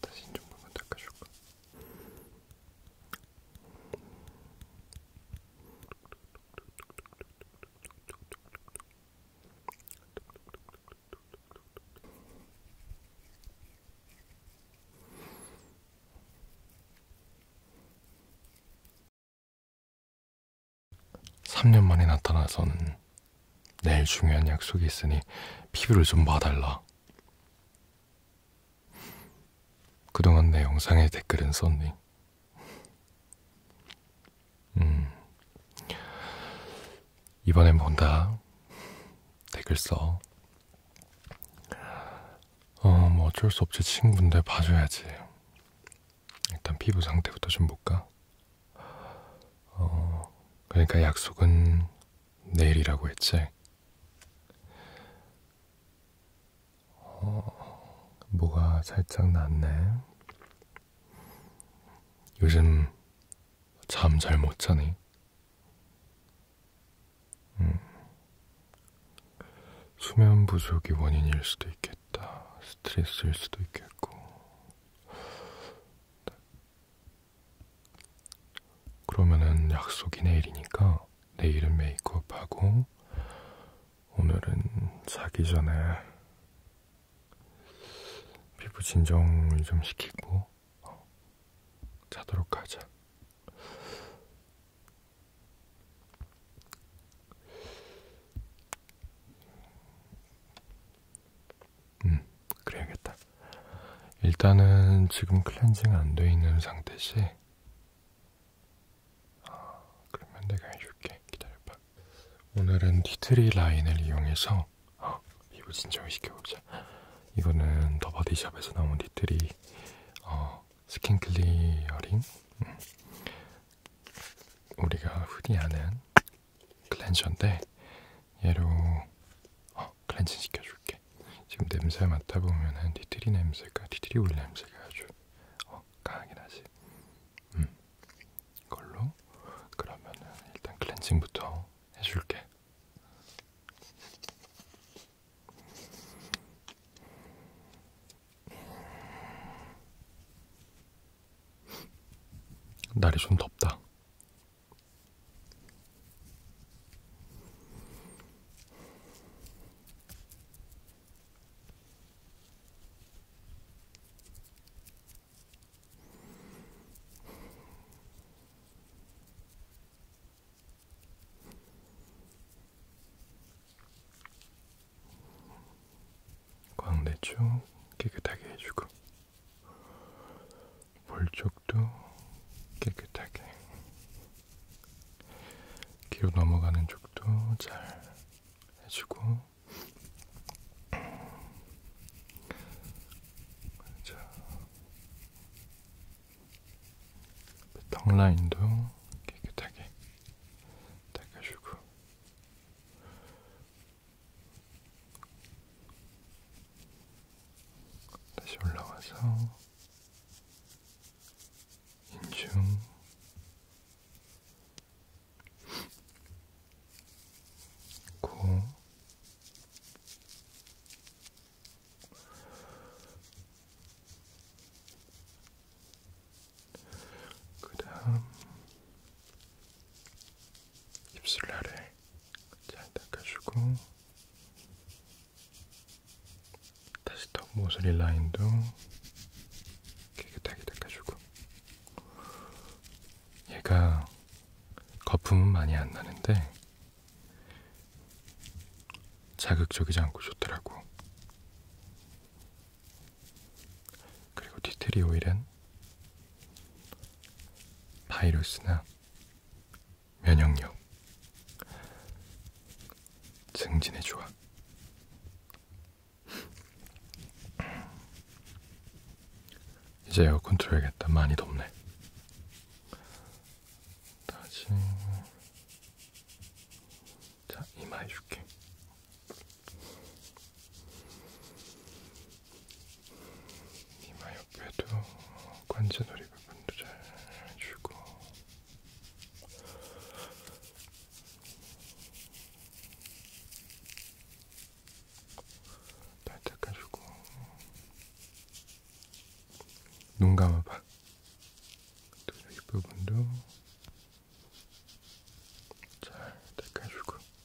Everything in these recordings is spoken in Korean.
다시 좀 한번 닦아줄까? (3년) 만에 나타나선 내일 중요한 약속이 있으니 피부를 좀 봐달라. 그동안 내 영상에 댓글은 썼니? 음. 이번엔 본다. 댓글 써. 어, 뭐 어쩔 수 없지. 친구인데 봐줘야지. 일단 피부 상태부터 좀 볼까? 어, 그러니까 약속은 내일이라고 했지. 어, 뭐가 살짝 났네. 요즘 잠 잘 못 자니? 음. 수면 부족이 원인일 수도 있겠다. 스트레스일 수도 있겠고. 그러면은 약속이 내일이니까 내일은 메이크업하고 오늘은 자기 전에 피부 진정을 좀 시키고 어, 자도록 하자. 음, 그래야겠다. 일단은 지금 클렌징 안 돼 있는 상태시. 아, 그러면 내가 해줄게. 기다려봐. 오늘은 티트리 라인을 이용해서 어, 피부 진정을 시켜보자. 이거는 더 바디샵에서 나온 티트리 어, 스킨 클리어링. 음. 우리가 흔히 아는 클렌저인데 얘로 어, 클렌징 시켜줄게. 지금 냄새 맡아보면은 티트리 냄새가 티트리 오일 냄새가 아주 어, 강하긴 하지. 음, 이걸로 그러면은 일단 클렌징부터 해줄게. 날이 좀 덥다. 광대 쭉 깨끗하게 해주고 볼 쪽도 깨끗하게 귀로 넘어가는 쪽도 잘 해주고 자, 턱 라인도 깨끗하게 닦아주고 다시 올라와서 인중 코 그다음 입술 아래 잘 닦아주고 다시 턱 모서리 라인도 깨끗하게 닦아주고 얘가 거품은 많이 안 나는데 자극적이지 않고 좋더라고 그리고 디테리 오일은 바이러스나 면역력, 증진에 좋아. 이제 에어컨 틀어야겠다. 많이 덥네. 다시 자 이마 해줄게. 이마 옆에도 관자놀이 부분도 잘 해주고 잘 닦아주고 눈 감아봐 또 여기 부분도 잘 닦아주고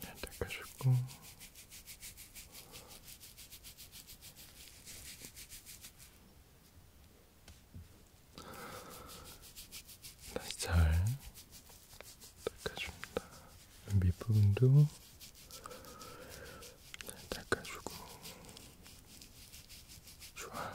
닦아주고 다시 잘 닦아줍니다. 밑부분도 닦아주고 좋아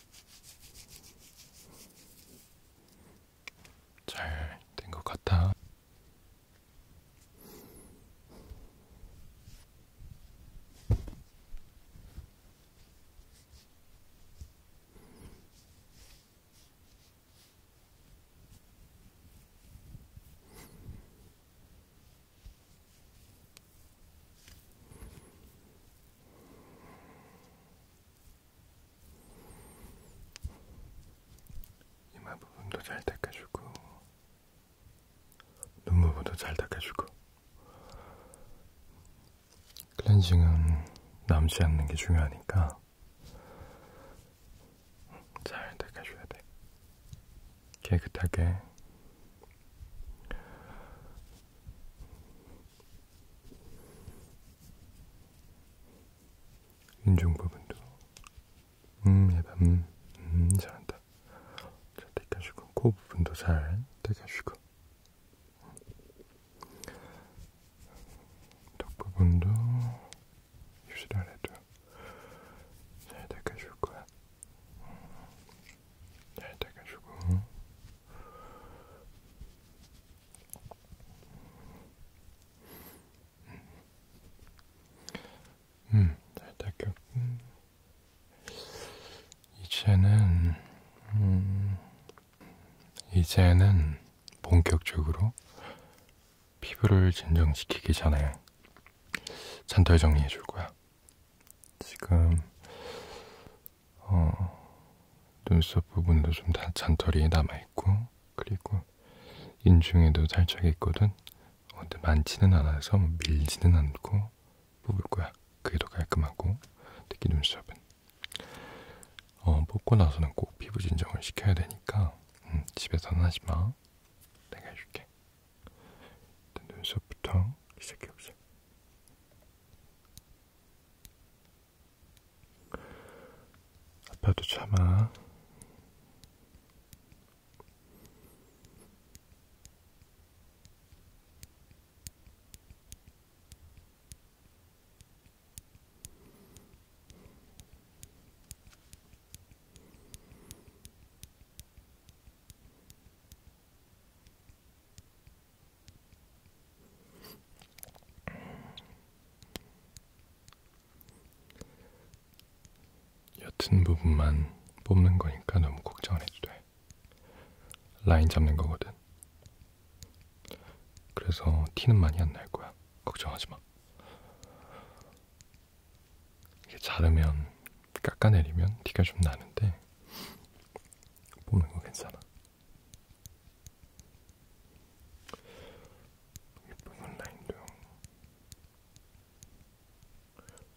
잘된것 같아. 이마 부분도 잘 닦아주고 눈 부분도 잘 닦아주고 클렌징은 남지 않는 게 중요하니까 잘 닦아줘야 돼. 깨끗하게 인중 부분도 음 예밤 음, 음 잘한다 잘 떼겨주고 코 부분도 잘 떼겨주고 턱 부분도 입술 아래도 잘 닦아줄 거야. 네, 돼가지고 음, 잘 네, 닦였고 이제는 음, 이제는 본격적으로 피부를 진정시키기 전에 잔털 정리해 줄 거야. 지금 어, 눈썹 부분도 좀 다 잔털이 남아있고 그리고 인중에도 살짝 있거든 어, 근데 많지는 않아서 뭐 밀지는 않고 뽑을 거야 그게 더 깔끔하고 특히 눈썹은 어, 뽑고 나서는 꼭 피부 진정을 시켜야 되니까 음, 집에서는 하지마 내가 해줄게 눈썹부터 시작해보자. 아파도 참아. 옅은 부분만 뽑는 거니까 너무 걱정 안 해도 돼. 라인 잡는 거거든. 그래서 티는 많이 안 날 거야. 걱정하지 마. 이게 자르면 깎아내리면 티가 좀 나는데 보는 거 괜찮아. 이 붉은 라인도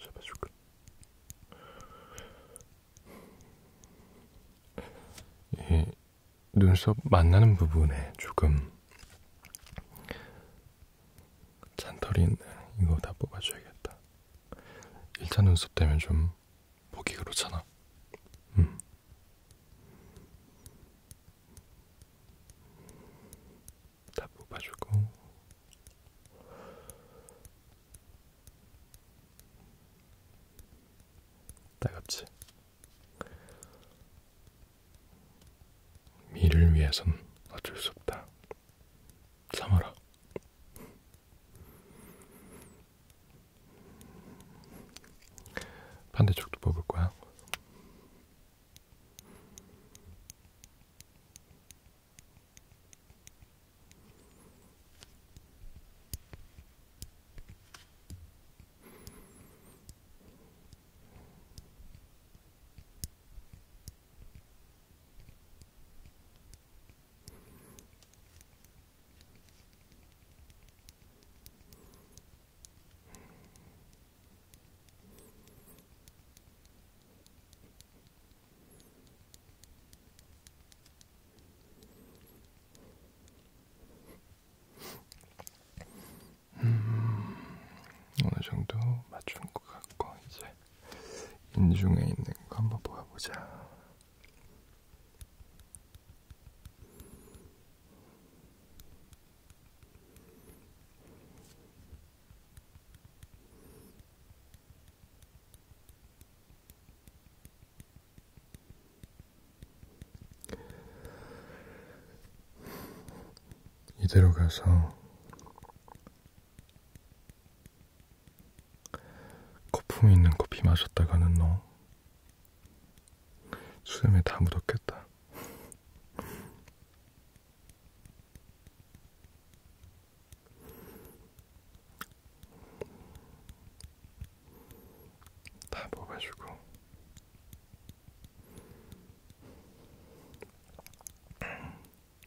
잡아줄까? 이 눈썹 만나는 부분에 조금 잔털이 있네. 이거 다 뽑아줘야겠다. 1차 눈썹 되면 좀 보기 그렇잖아. 음. 다 뽑아주고 따갑지. 미를 위해선 어쩔 수 없다. 참아라. 반대쪽도 뽑을 거야. 음, 어느 정도 맞춘 것 같고 이제 인중에 있는 거 한번 보아보자. 이대로 가서 거품 있는 커피 마셨다가는 너 수염에 다 묻었겠다. 다 먹어주고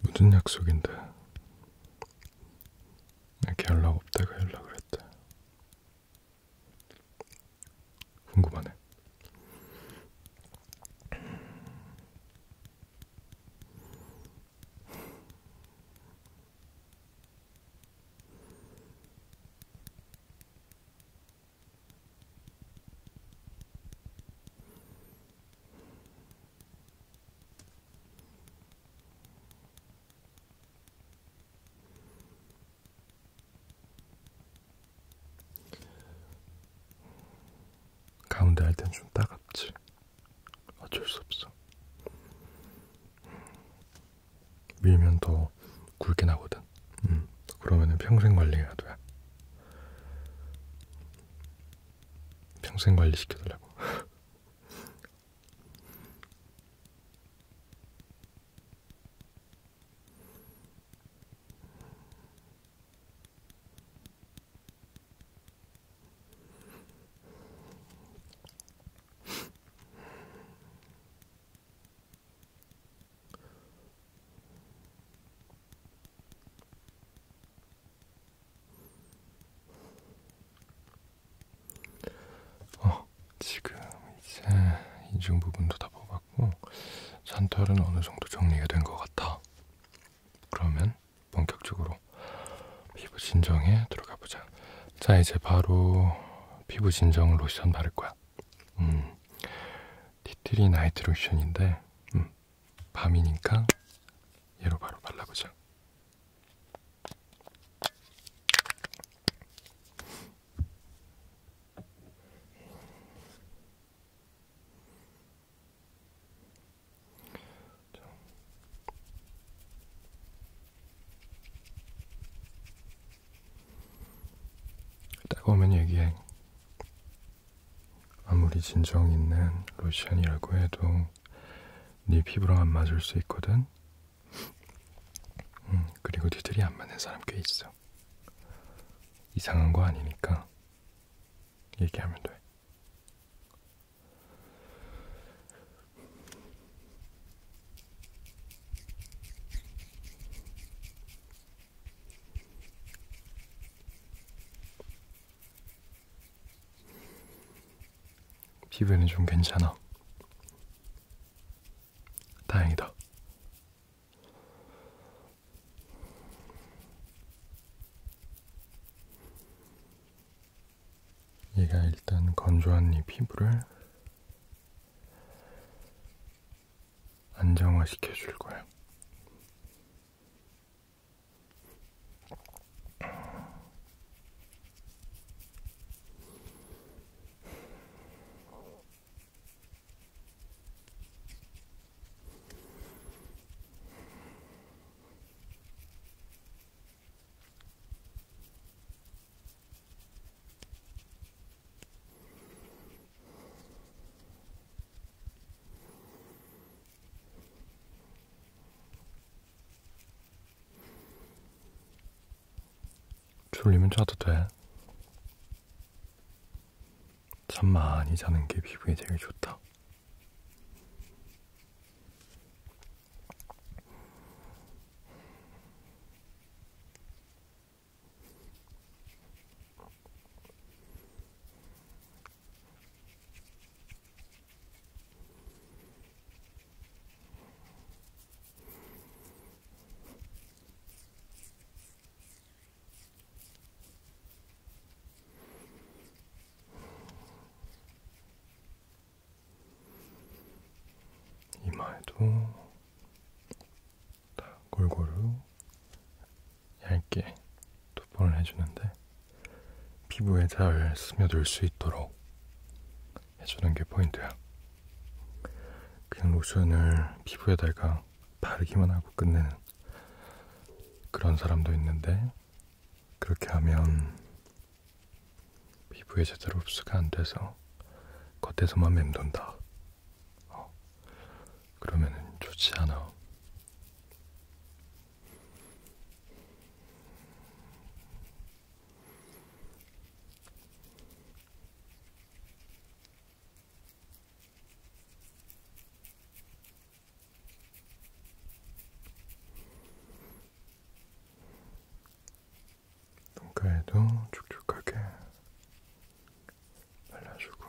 무슨 약속인데 이렇게 연락 없다가 연락을 했대 궁금하네 가운데 할땐좀 따갑지. 어쩔 수 없어. 밀면 더 굵게 나거든. 음, 그러면은 평생 관리해야 돼. 평생 관리 시켜달라고. 어, 지금 이제 인중 부분도 다 뽑았고 잔털은 어느 정도 정리가 된 것 같아. 그러면 본격적으로 피부 진정에 들어가 보자. 자, 이제 바로 피부 진정 로션 바를 거야. 거야. 음, 티트리 나이트 로션인데 음, 밤이니까 얘로 바로 발라보자. 따가우면 얘기해. 아무리 진정 있는 로션이라고 해도 네 피부랑 안 맞을 수 있거든. 음, 그리고 니들이 네 안 맞는 사람 꽤 있어. 이상한 거 아니니까 얘기하면 돼. 피부에는 좀 괜찮아. 다행이다. 얘가 일단 건조한 이 피부를 안정화시켜 줄 거야. 졸리면 자도 돼. 잠 많이 자는 게 피부에 제일 좋다. 이마에도 다 골고루 얇게 도포를 해주는데 피부에 잘 스며들 수 있도록 해주는 게 포인트야. 그냥 로션을 피부에다가 바르기만 하고 끝내는 그런 사람도 있는데 그렇게 하면 피부에 제대로 흡수가 안 돼서 겉에서만 맴돈다. 어. 그러면은 좋지 않아. 눈가에도 촉촉하게 발라주고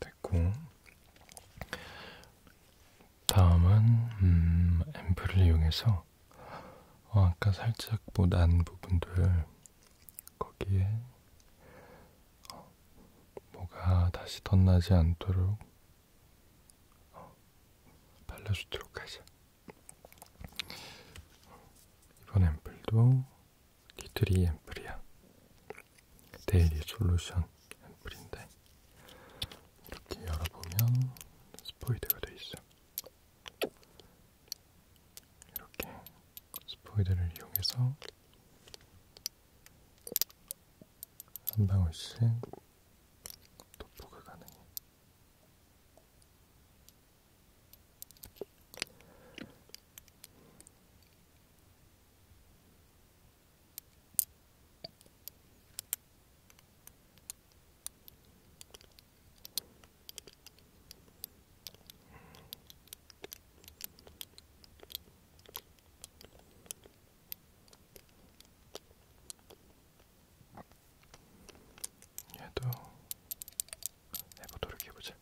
됐고 다음은 음, 앰플을 이용해서 어, 아까 살짝 뭐난 부분들 거기에 어, 뭐가 다시 덧나지 않도록 어, 발라주도록 하자. 이번 앰플도 D3 앰플이야. 데일리 솔루션 앰플인데 이렇게 열어보면 스포이드가 돼 있어. 이렇게 스포이드를 이용해서 한 방울씩 도포가 가능해. 얘도 해보도록 해보자.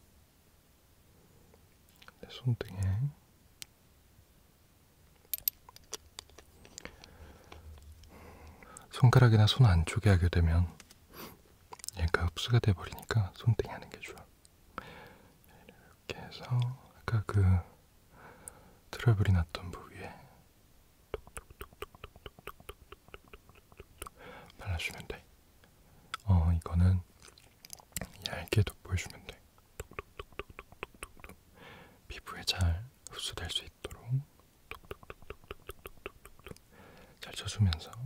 내 손등에 손가락이나 손 안쪽에 하게 되면 얘가 흡수가 돼버리니까 손등에 하는 게 좋아. 이렇게 해서 아까 그 트러블이 났던 부위에 발라주면 돼. 어, 이거는 얇게 돋보여주면 돼. 피부에 잘 흡수될 수 있도록 잘 쳐주면서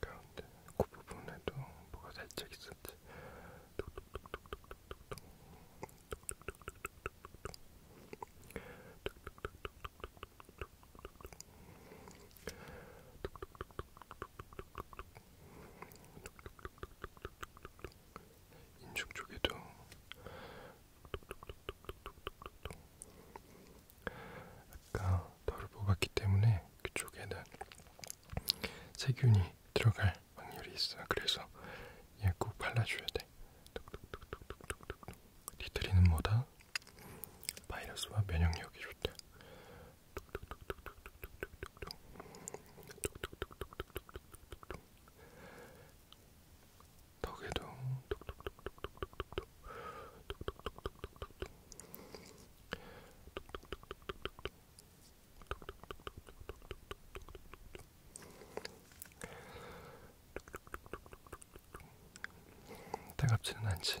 가운데 코 부분에도 뭐가 살짝 있었지. 인중 쪽에도 아까 덜 뽑았기 때문에 그쪽에는 세균이 들어갈 확률이 있어. 그래서 얘꼭 발라줘야 돼. 니트리는 뭐다? 바이러스와 면역력이 좋다. 덕에도 따갑지는 않지.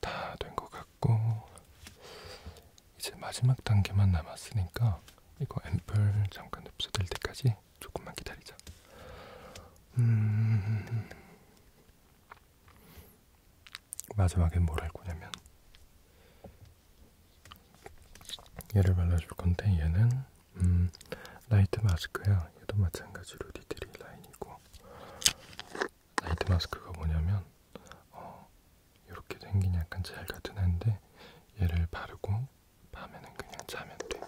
다된것 같고 이제 마지막 단계만 남았으니까 이거 앰플 잠깐 흡수될 때까지 조금만 기다리자. 음... 마지막에 뭘할 거냐면 얘를 발라줄 건데 얘는 음, 라이트 마스크야. 얘도 마찬가지로 디테일 라인이고 라이트 마스크가 뭐냐면 어, 이렇게 생긴 약간 젤 같은 애인데 얘를 바르고 밤에는 그냥 자면 돼.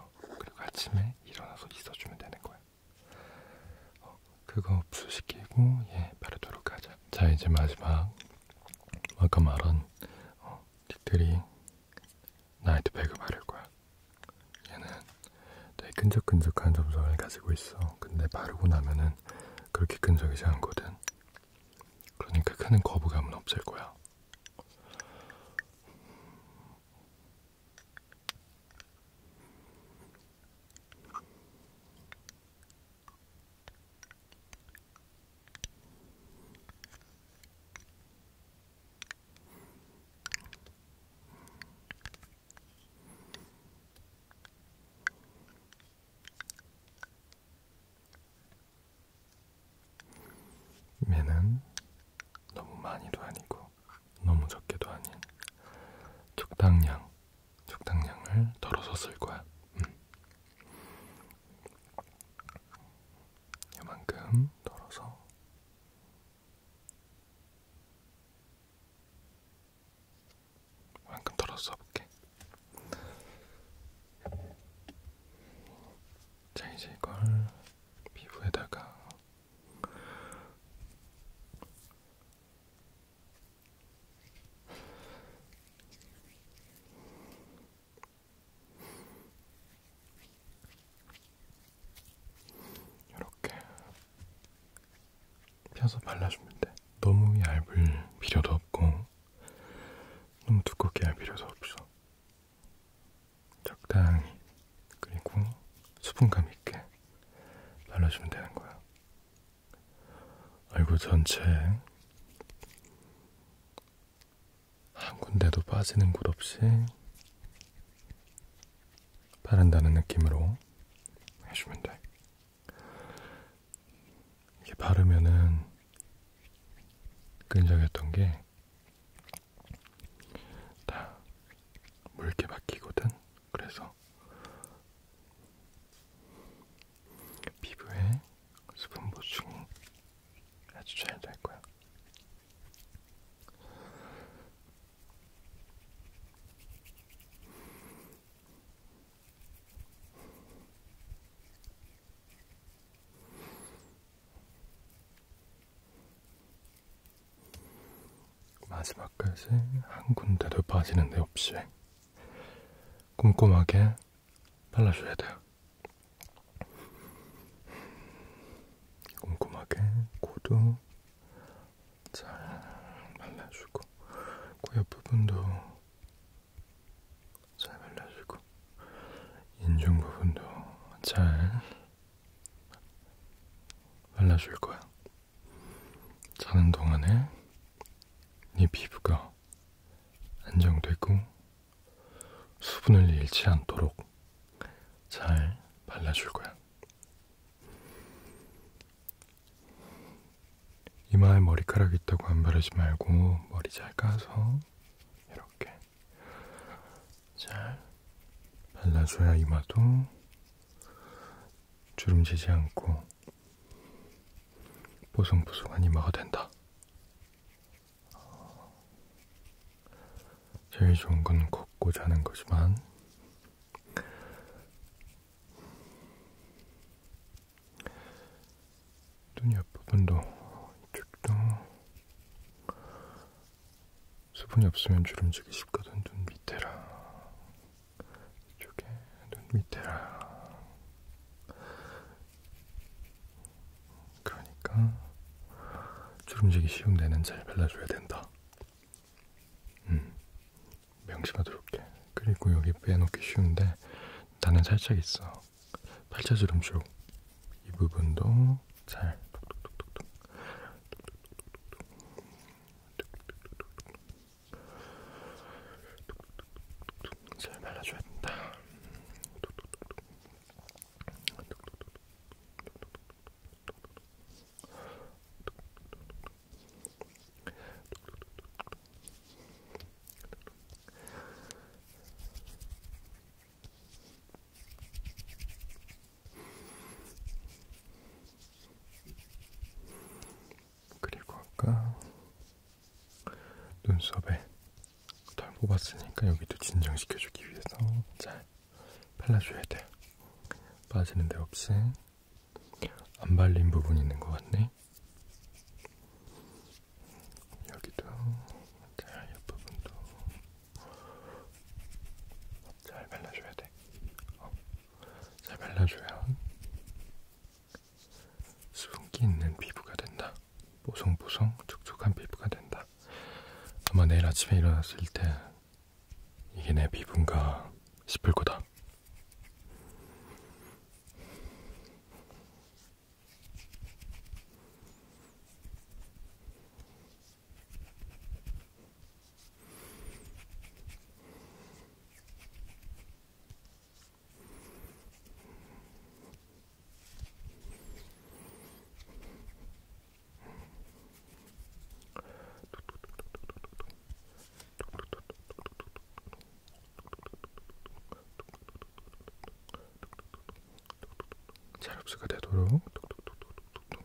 어, 그리고 아침에 일어나서 씻어주면 되는 거야. 어, 그거 흡수시키고 예 바르도록 하자. 자 이제 마지막 아까 말한 어, 틱들이 나이트백을 바를 거야. 얘는 되게 끈적끈적한 점성을 가지고 있어. 근데 바르고 나면은 그렇게 끈적이지 않거든. 그러니까 큰 거부감은 없을 거야. 매는 너무 많이도 아니고 너무 적게도 아닌 적당량, 적당량을 덜어서 쓸 거야. 음. 이만큼 덜어서 이만큼 덜어서 볼게. 자 이제 이걸 피부에다가 이렇게 펴서 발라주면 돼. 너무 얇을 필요도 없고, 너무 두껍게 할 필요도 없어. 적당히 그리고 수분감 있게 발라주면 되는 거야. 얼굴 전체에 한 군데도 빠지는 곳 없이 바른다는 느낌으로 해주면 돼. 이게 바르면은 끈적였던 게다 물게 바뀌거든. 그래서 피부에 수분 보충이 아주 잘 될 거야. 마지막까지 한 군데도 빠지는 데 없이 꼼꼼하게 발라줘야 돼요. 꼼꼼하게 코도 잘 발라주고 코 옆부분도 잘 발라주고 인중 부분도 잘 발라줄 거야. 자는 동안에 네 피부가 안정되고 수분을 잃지 않도록 잘 발라줄 거야. 이마에 머리카락 있다고 안 바르지 말고 머리 잘 까서 이렇게 잘 발라줘야 이마도 주름지지 않고 보송보송한 이마가 된다. 제일 좋은 건 걷고 자는 거지만 눈이 앞부분도 이쪽도 수분이 없으면 주름지기 쉽거든. 눈 밑에랑 이쪽에 눈 밑에랑 그러니까 주름지기 쉬운 데는 잘 발라줘야 된다. 음, 명심하도록 해. 그리고 여기 빼놓기 쉬운데 나는 살짝 있어. 팔자 주름 쪽 이 부분도 잘잘 발라줘야 된다. 그리고 아까 눈썹에 털 뽑았으니까 여기도 진정시켜주기 위해서 잘 발라줘야 돼요. 빠지는 데 없이 안 발린 부분 있는 것 같네. 여기도 자, 옆부분도 잘 발라줘야 돼. 어. 잘 발라줘야 수분기 있는 피부가 된다. 보송보송 촉촉한 피부가 된다. 아마 내일 아침에 일어났을 때 이게 내 피부인가 싶을 거다. 잘 흡수가 되도록 톡톡톡톡톡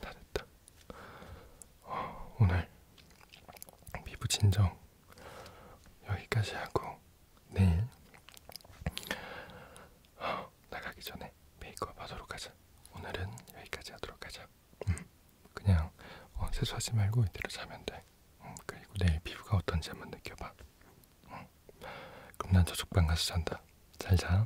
다 됐다. 어, 오늘 피부 진정 여기까지 하고 내일 어, 나가기 전에 메이크업 하도록 하자. 오늘은 여기까지 하도록 하자. 음, 그냥 어, 세수하지 말고 이대로 자면 돼. 음, 그리고 내일 피부가 어떤지 한번 느껴봐. 음, 그럼 난 저쪽방 가서 잔다. 잘 자.